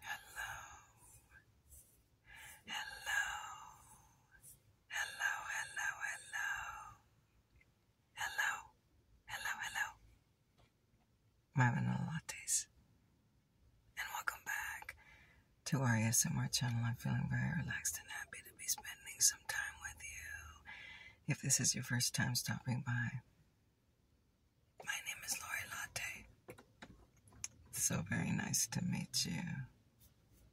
Hello, hello, hello, hello, hello, hello, hello, hello. My vanilla lattes, and welcome back to our ASMR channel. I'm feeling very relaxed and happy to be spending some time with you. If this is your first time stopping by, my name is Lori Latte. So very nice to meet you.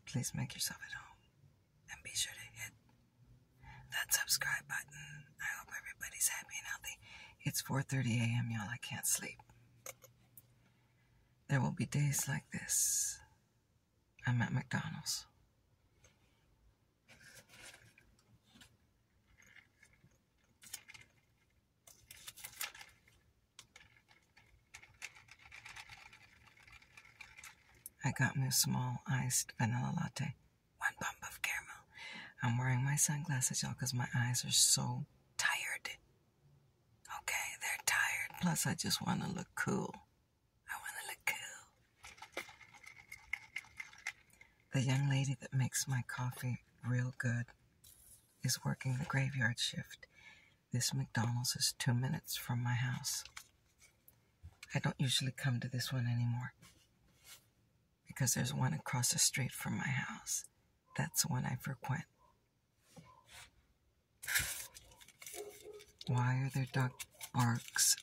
Please make yourself at home and be sure to hit that subscribe button. I hope everybody's happy and healthy. It's 4:30 a.m. y'all. I can't sleep. There will be days like this. I'm at McDonald's. I got me a small iced vanilla latte, one pump of caramel. I'm wearing my sunglasses, y'all, because my eyes are so tired. Okay, they're tired. Plus, I just want to look cool. I want to look cool. The young lady that makes my coffee real good is working the graveyard shift. This McDonald's is two minutes from my house. I don't usually come to this one anymore because there's one across the street from my house. That's the one I frequent. Why are there dog barks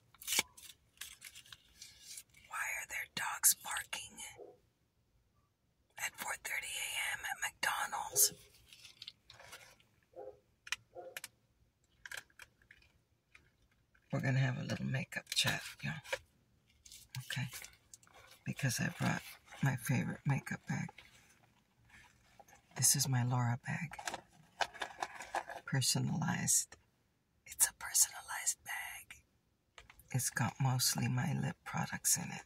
why are there dogs barking at 4:30 a.m. at McDonald's? We're gonna have a little makeup chat, y'all. Okay, because I brought my favorite makeup bag. This is my Laura bag, personalized it's a personalized bag. It's got mostly my lip products in it.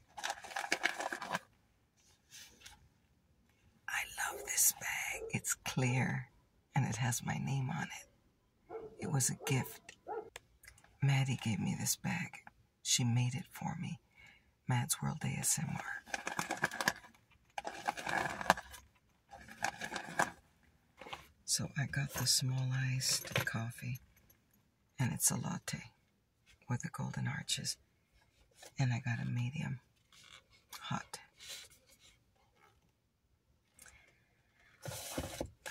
I love this bag. It's clear and it has my name on it. It was a gift. Maddie gave me this bag. She made it for me. Matt's World ASMR. So I got the small iced coffee, and it's a latte with the golden arches, and I got a medium hot.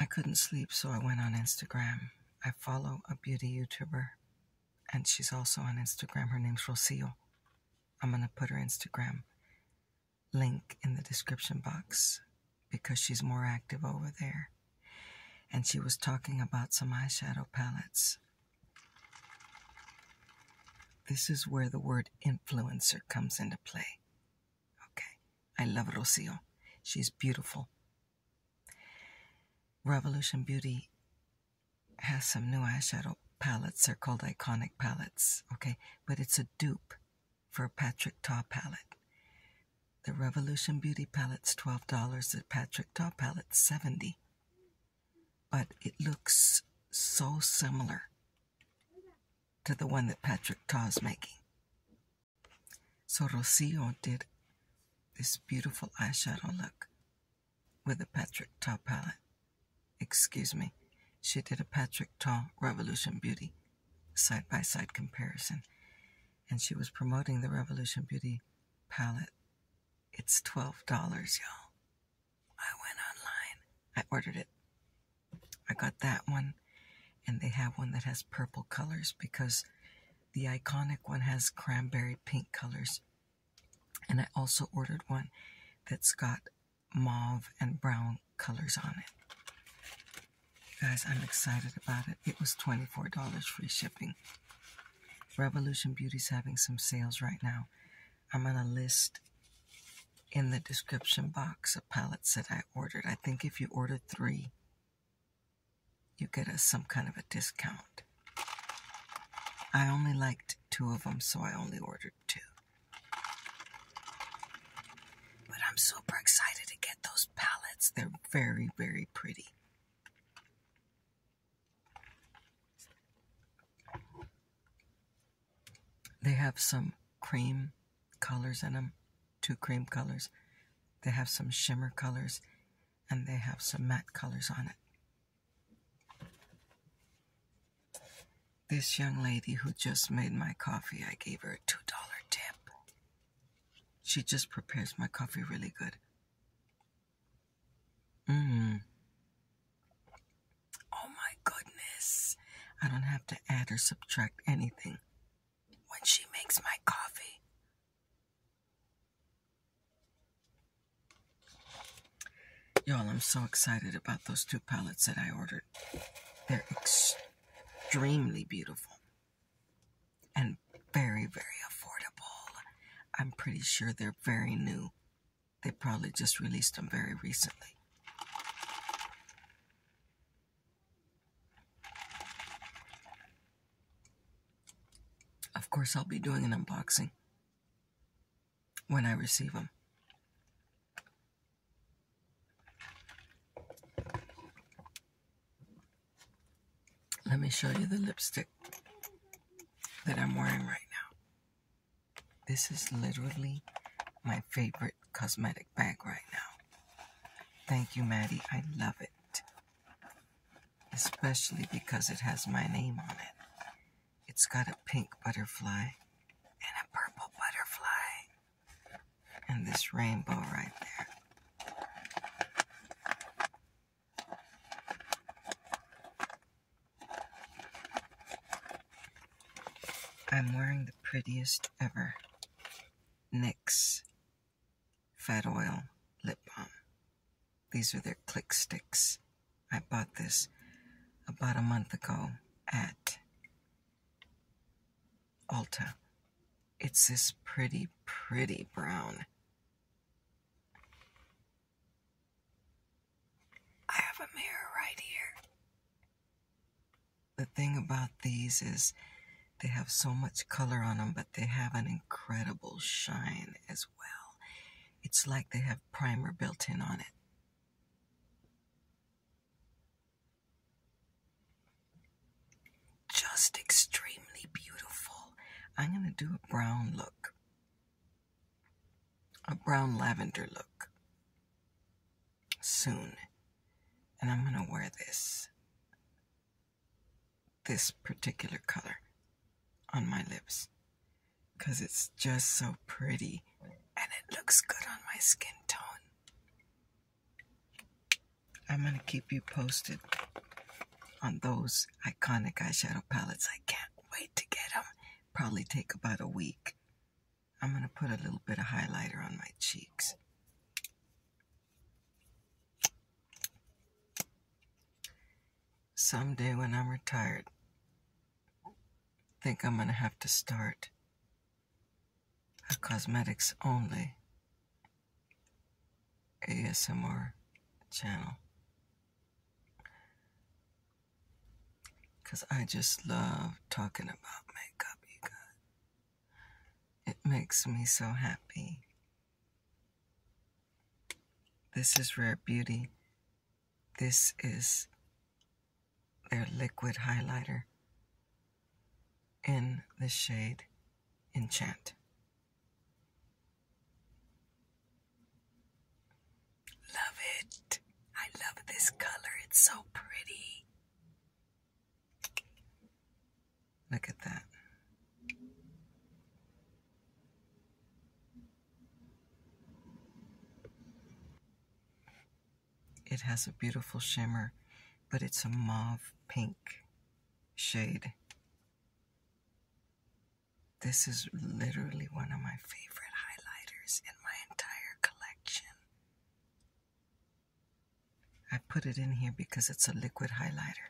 I couldn't sleep, so I went on Instagram. I follow a beauty YouTuber, and she's also on Instagram. Her name's Rosiel. I'm going to put her Instagram link in the description box because she's more active over there. And she was talking about some eyeshadow palettes. This is where the word influencer comes into play. Okay, I love Rocio. She's beautiful. Revolution Beauty has some new eyeshadow palettes. They're called iconic palettes, okay? But it's a dupe for Patrick Taw palette. The Revolution Beauty palette's $12, the Patrick Taw palette 70 But it looks so similar to the one that Patrick is making. So Rocio did this beautiful eyeshadow look with the Patrick Taw palette. Excuse me, she did a Patrick Taw Revolution Beauty side by side comparison. And she was promoting the Revolution Beauty palette. It's $12, y'all. I went online, I ordered it. I got that one, and they have one that has purple colors because the iconic one has cranberry pink colors. And I also ordered one that's got mauve and brown colors on it. Guys, I'm excited about it. It was $24 free shipping. Revolution Beauty's having some sales right now. I'm going to list in the description box a palettes that I ordered. I think if you order three, you get a, some kind of a discount. I only liked two of them, so I only ordered two. But I'm super excited to get those palettes. They're very, very pretty. They have some cream colors in them, two cream colors. They have some shimmer colors, and they have some matte colors on it. This young lady who just made my coffee, I gave her $2 tip. She just prepares my coffee really good. Mmm. Oh my goodness. I don't have to add or subtract anything when she makes my coffee. Y'all, I'm so excited about those two pellets that I ordered. They're extremely extremely beautiful and very, very affordable. I'm pretty sure they're very new. They probably just released them very recently. Of course, I'll be doing an unboxing when I receive them. Let me show you the lipstick that I'm wearing right now. This is literally my favorite cosmetic bag right now. Thank you, Maddie. I love it. Especially because it has my name on it. It's got a pink butterfly and a purple butterfly and this rainbow right there. I'm wearing the prettiest ever NYX Fat Oil Lip Balm. These are their click sticks. I bought this about a month ago at Alta. It's this pretty, pretty brown. I have a mirror right here. The thing about these is they have so much color on them, but they have an incredible shine as well. It's like they have primer built in on it. Just extremely beautiful. I'm going to do a brown look, a brown lavender look soon. And I'm going to wear this, this particular color on my lips because it's just so pretty and it looks good on my skin tone. I'm going to keep you posted on those iconic eyeshadow palettes. I can't wait to get them. Probably take about a week. I'm going to put a little bit of highlighter on my cheeks. Someday when I'm retired, I think I'm going to have to start a cosmetics only ASMR channel. Because I just love talking about makeup, It makes me so happy. This is Rare Beauty. This is their liquid highlighter in the shade Enchant. Love it. I love this color. It's so pretty. Look at that. It has a beautiful shimmer, but it's a mauve pink shade. This is literally one of my favorite highlighters in my entire collection. I put it in here because it's a liquid highlighter.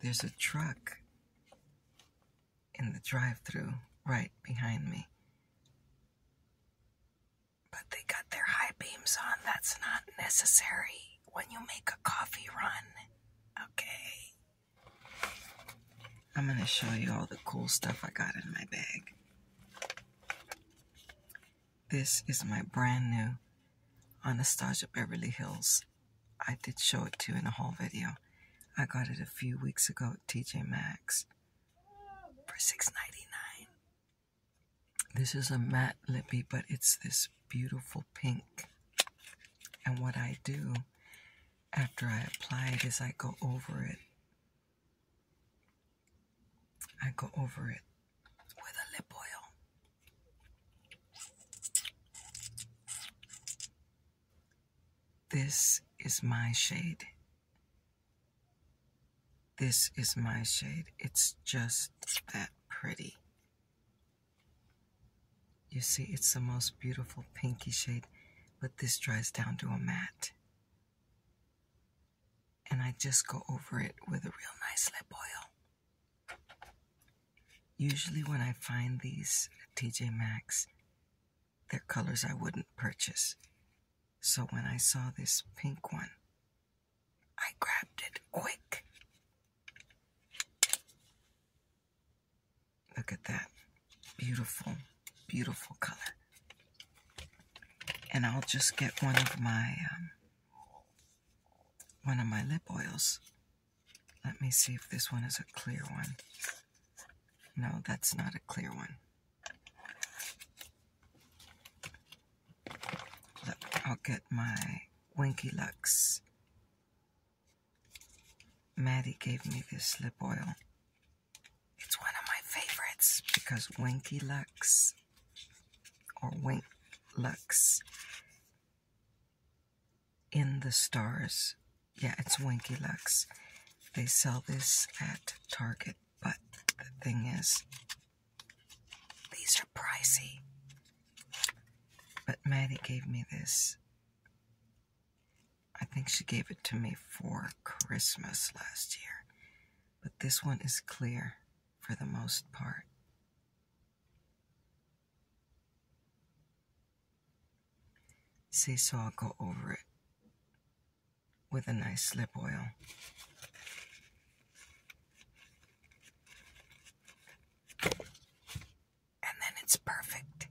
There's a truck in the drive through right behind me. But they got their high beams on. That's not necessary when you make a coffee run. Okay. I'm going to show you all the cool stuff I got in my bag. This is my brand new Anastasia Beverly Hills I did show it to you in the whole video. I got it a few weeks ago at TJ Maxx for $6.99. This is a matte lippy, but it's this beautiful pink. And what I do after I apply it is I go over it. I go over it with a lip oil. This is my shade. This is my shade. It's just that pretty. You see, it's the most beautiful pinky shade, but this dries down to a matte. And I just go over it with a real nice lip oil. Usually, when I find these TJ Maxx, they're colors I wouldn't purchase. So when I saw this pink one, I grabbed it quick. Look at that. Beautiful, beautiful color. And I'll just get one of my um, one of my lip oils let me see if this one is a clear one. No, that's not a clear one. Look, I'll get my Winky Lux. Maddie gave me this lip oil. It's one of my favorites because Winky Lux or Wink Lux in the stars. Yeah, it's Winky Lux. They sell this at Target, but the thing is, these are pricey. But Maddie gave me this. I think she gave it to me for Christmas last year. But this one is clear for the most part. Seesaw go over it with a nice slip oil. And then it's perfect.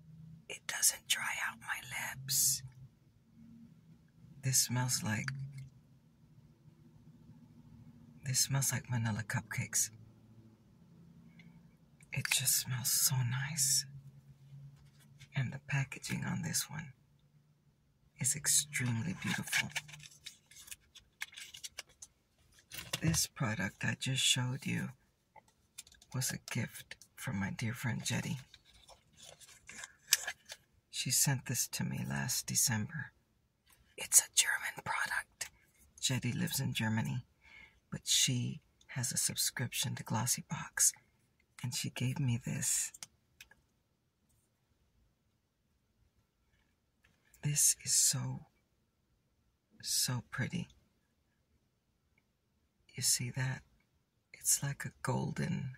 It doesn't dry out my lips. This smells like this smells like vanilla cupcakes. It just smells so nice. And the packaging on this one is extremely beautiful. This product I just showed you was a gift from my dear friend Jetty. She sent this to me last December. It's a German product. Jetty lives in Germany but she has a subscription to Glossybox, and she gave me this. This is so, so pretty. You see that? It's like a golden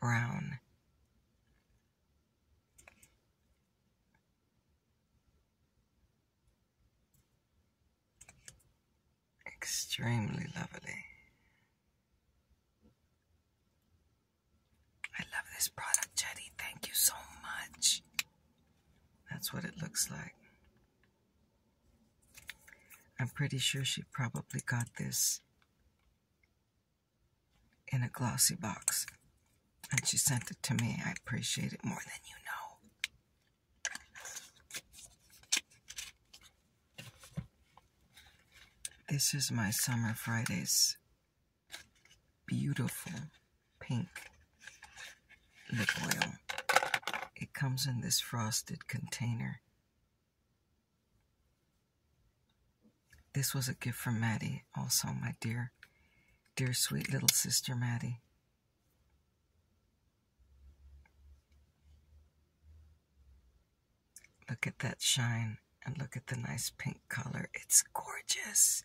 brown. Extremely lovely. I love this product, Jetty. Thank you so much. That's what it looks like. I'm pretty sure she probably got this in a glossy box. And she sent it to me. I appreciate it more than you know. This is my Summer Fridays beautiful pink lip oil. It comes in this frosted container. This was a gift from Maddie, also my dear, dear sweet little sister Maddie. Look at that shine and look at the nice pink color. It's gorgeous.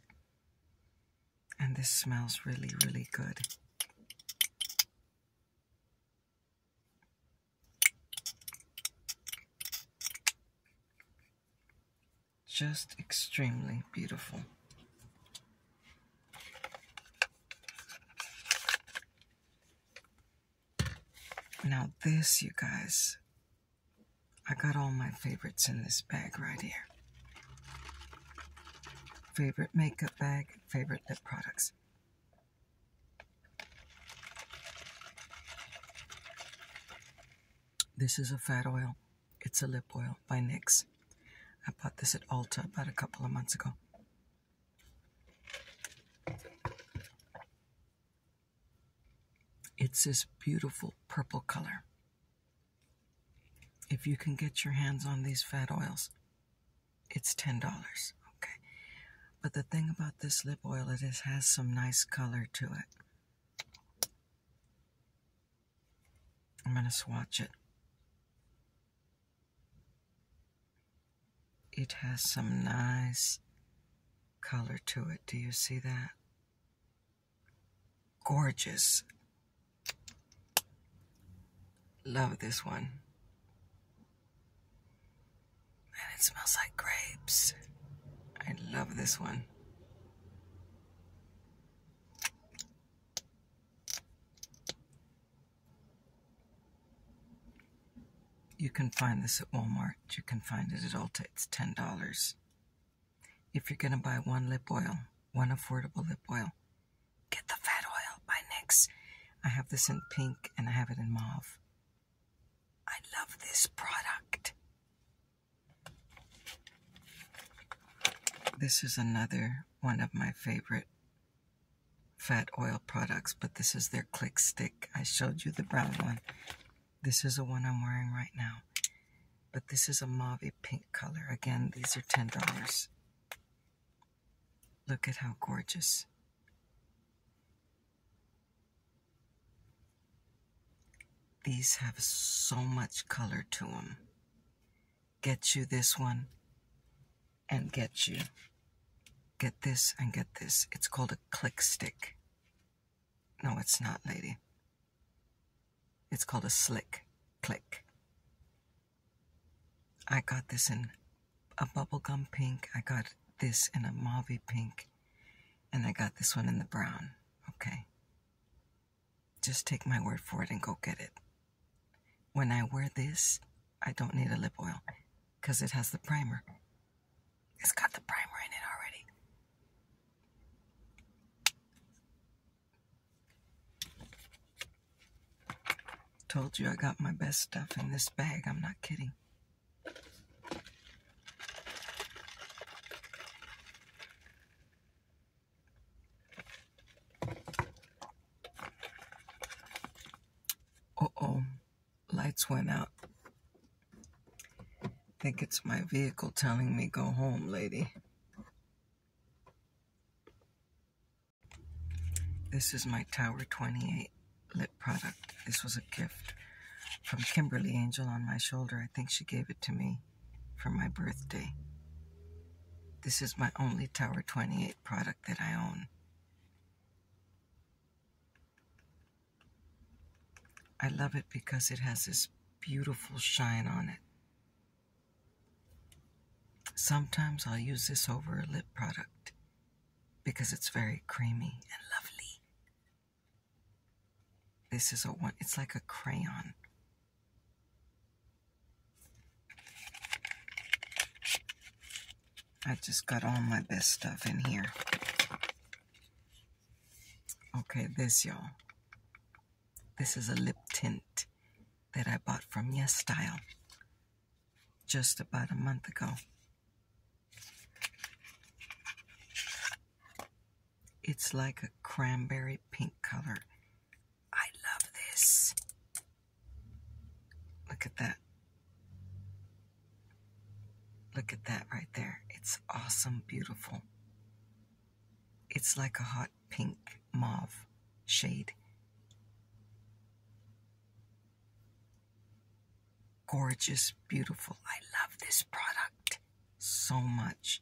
And this smells really, really good. Just extremely beautiful. Now this, you guys, I got all my favorites in this bag right here. Favorite makeup bag, favorite lip products. This is a fat oil. It's a lip oil by NYX. I bought this at Ulta about a couple of months ago. It's this beautiful purple color. If you can get your hands on these fat oils, it's $10. Okay. But the thing about this lip oil it has some nice color to it. I'm going to swatch it. It has some nice color to it. Do you see that? Gorgeous. Love this one. And it smells like grapes. I love this one. You can find this at Walmart. You can find it at Ulta. It's $10. If you're going to buy one lip oil, one affordable lip oil, get the fat oil by NYX. I have this in pink and I have it in mauve. I love this product. This is another one of my favorite fat oil products, but this is their click stick. I showed you the brown one. This is the one I'm wearing right now. But this is a mauve pink color. Again, these are $10. Look at how gorgeous. These have so much color to them get you this one and get you. Get this and get this. It's called a click stick. No, it's not, lady. It's called a slick click. I got this in a bubblegum pink. I got this in a mauve pink. And I got this one in the brown. Okay. Just take my word for it and go get it. When I wear this, I don't need a lip oil because it has the primer. It's got the primer in it already. Told you I got my best stuff in this bag. I'm not kidding. Uh-oh, lights went out. I think it's my vehicle telling me go home, lady. This is my Tower 28 lip product. This was a gift from Kimberly Angel on my shoulder. I think she gave it to me for my birthday. This is my only Tower 28 product that I own. I love it because it has this beautiful shine on it. Sometimes I'll use this over a lip product because it's very creamy and lovely. This is a one, it's like a crayon I just got all my best stuff in here. Okay, this, y'all. This is a lip tint that I bought from Yes Style just about a month ago. It's like a cranberry pink color. I love this. Look at that. Look at that right there. It's awesome, beautiful. It's like a hot pink mauve shade. Gorgeous, beautiful. I love this product so much.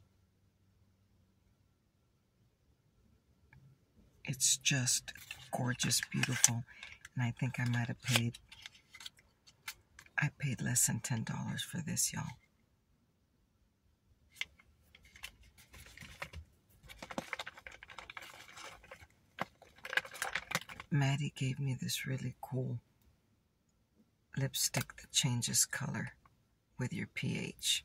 It's just gorgeous, beautiful. And I think I might have paid, I paid less than $10 for this, y'all. Maddie gave me this really cool lipstick that changes color with your pH.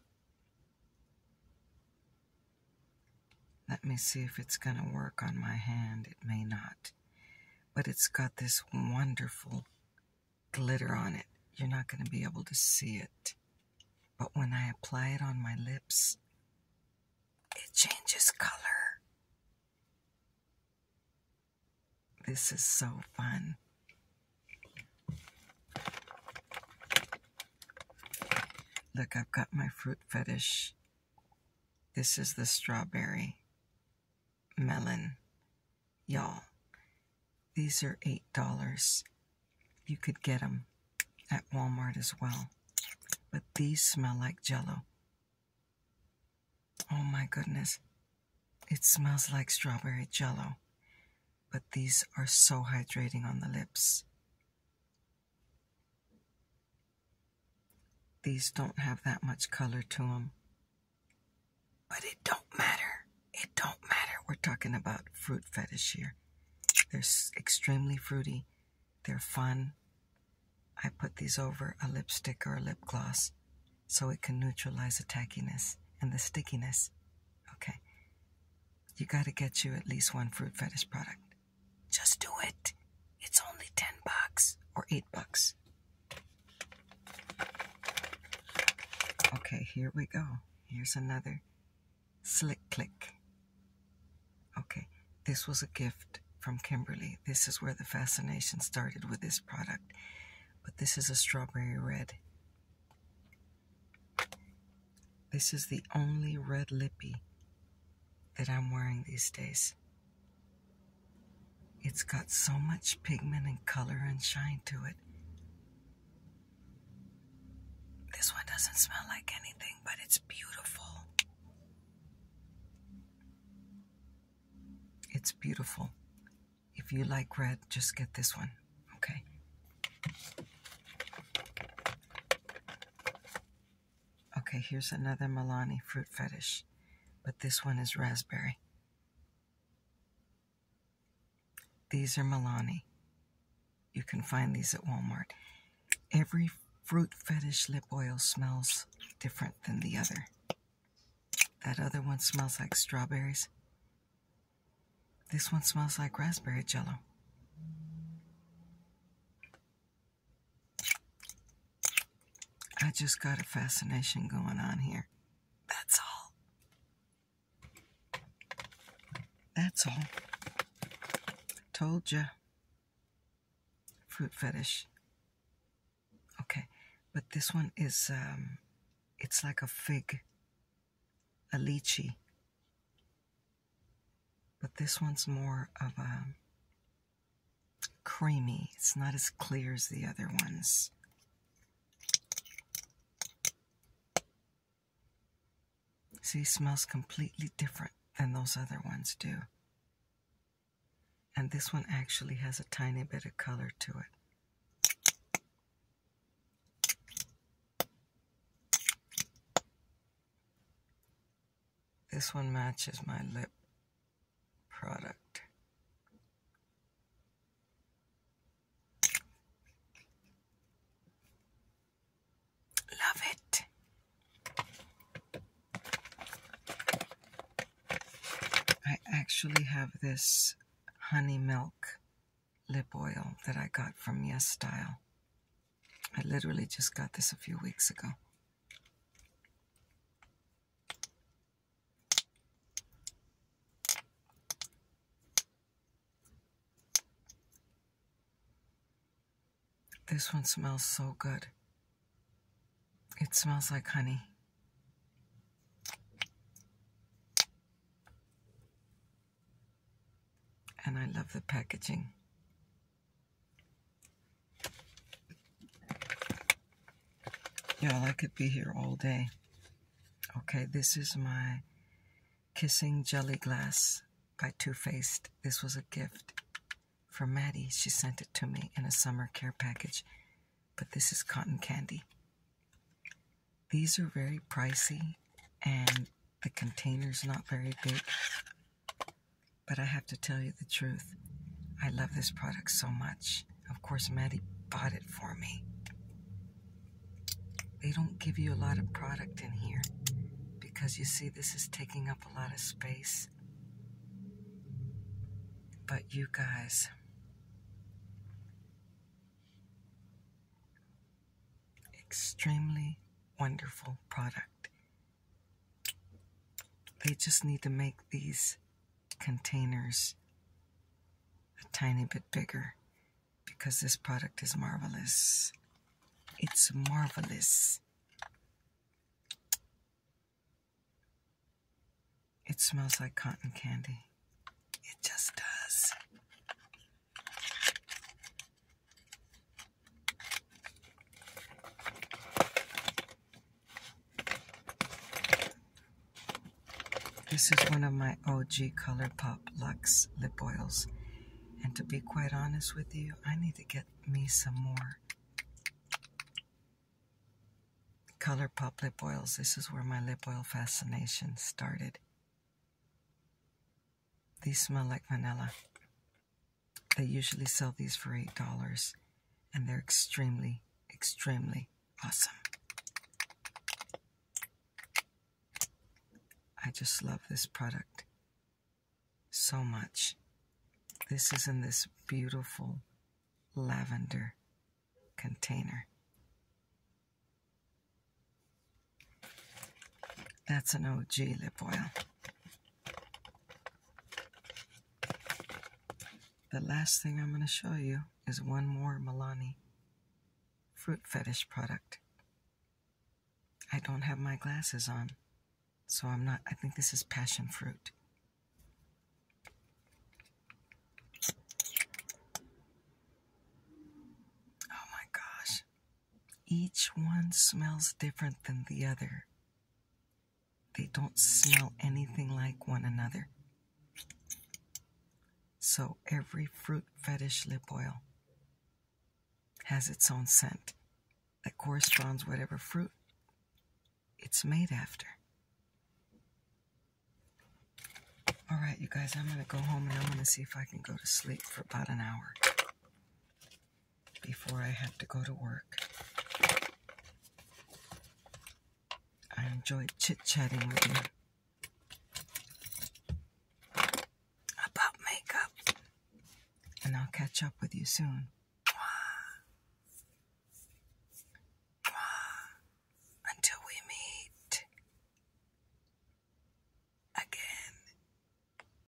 Let me see if it's going to work on my hand. It may not. But it's got this wonderful glitter on it. You're not going to be able to see it. But when I apply it on my lips, it changes color. This is so fun. Look, I've got my fruit fetish. This is the strawberry melon. Y'all, these are $8. You could get them at Walmart as well. But these smell like jello. Oh my goodness. It smells like strawberry jello. But these are so hydrating on the lips. These don't have that much color to them. But it don't matter. It don't matter. We're talking about fruit fetish here. They're extremely fruity. They're fun. I put these over a lipstick or a lip gloss so it can neutralize the tackiness and the stickiness. Okay. You gotta get you at least one fruit fetish product. Just do it. It's only 10 bucks or 8 bucks. Okay, here we go. Here's another slick click. Okay, this was a gift from Kimberly. This is where the fascination started with this product. But this is a strawberry red. This is the only red lippy that I'm wearing these days. It's got so much pigment and color and shine to it. This one doesn't smell like anything, but it's beautiful. It's beautiful. If you like red, just get this one, okay? Okay, here's another Milani fruit fetish, but this one is raspberry. These are Milani. You can find these at Walmart. Every fruit fetish lip oil smells different than the other. That other one smells like strawberries. This one smells like raspberry jello. I just got a fascination going on here. That's all. That's all. Told you. Fruit fetish. Okay, but this one is, um, it's like a fig, a lychee. But this one's more of a creamy. It's not as clear as the other ones. See, smells completely different than those other ones do. And this one actually has a tiny bit of color to it. This one matches my lip product. Love it. I actually have this honey milk lip oil that I got from Yes Style. I literally just got this a few weeks ago. This one smells so good. It smells like honey. And I love the packaging. Y'all, I could be here all day. Okay, this is my Kissing Jelly Glass by Too Faced. This was a gift for Maddie. She sent it to me in a summer care package, but this is cotton candy. These are very pricey, and the container's not very big. But I have to tell you the truth. I love this product so much. Of course, Maddie bought it for me. They don't give you a lot of product in here because you see, this is taking up a lot of space. But you guys, Extremely wonderful product. They just need to make these containers a tiny bit bigger because this product is marvelous. It's marvelous. It smells like cotton candy. It just does. This is one of my OG ColourPop Luxe lip oils. And to be quite honest with you, I need to get me some more ColourPop lip oils. This is where my lip oil fascination started. These smell like vanilla. They usually sell these for $8, and they're extremely, extremely awesome. I just love this product so much. This is in this beautiful lavender container. That's an OG lip oil. The last thing I'm going to show you is one more Milani fruit fetish product. I don't have my glasses on, so I'm not, I think this is passion fruit. Oh my gosh, each one smells different than the other. They don't smell anything like one another. So every fruit fetish lip oil has its own scent that corresponds whatever fruit it's made after. All right, you guys, I'm going to go home and I'm going to see if I can go to sleep for about an hour before I have to go to work. I enjoy chit chatting with you about makeup, and I'll catch up with you soon. Until we meet again.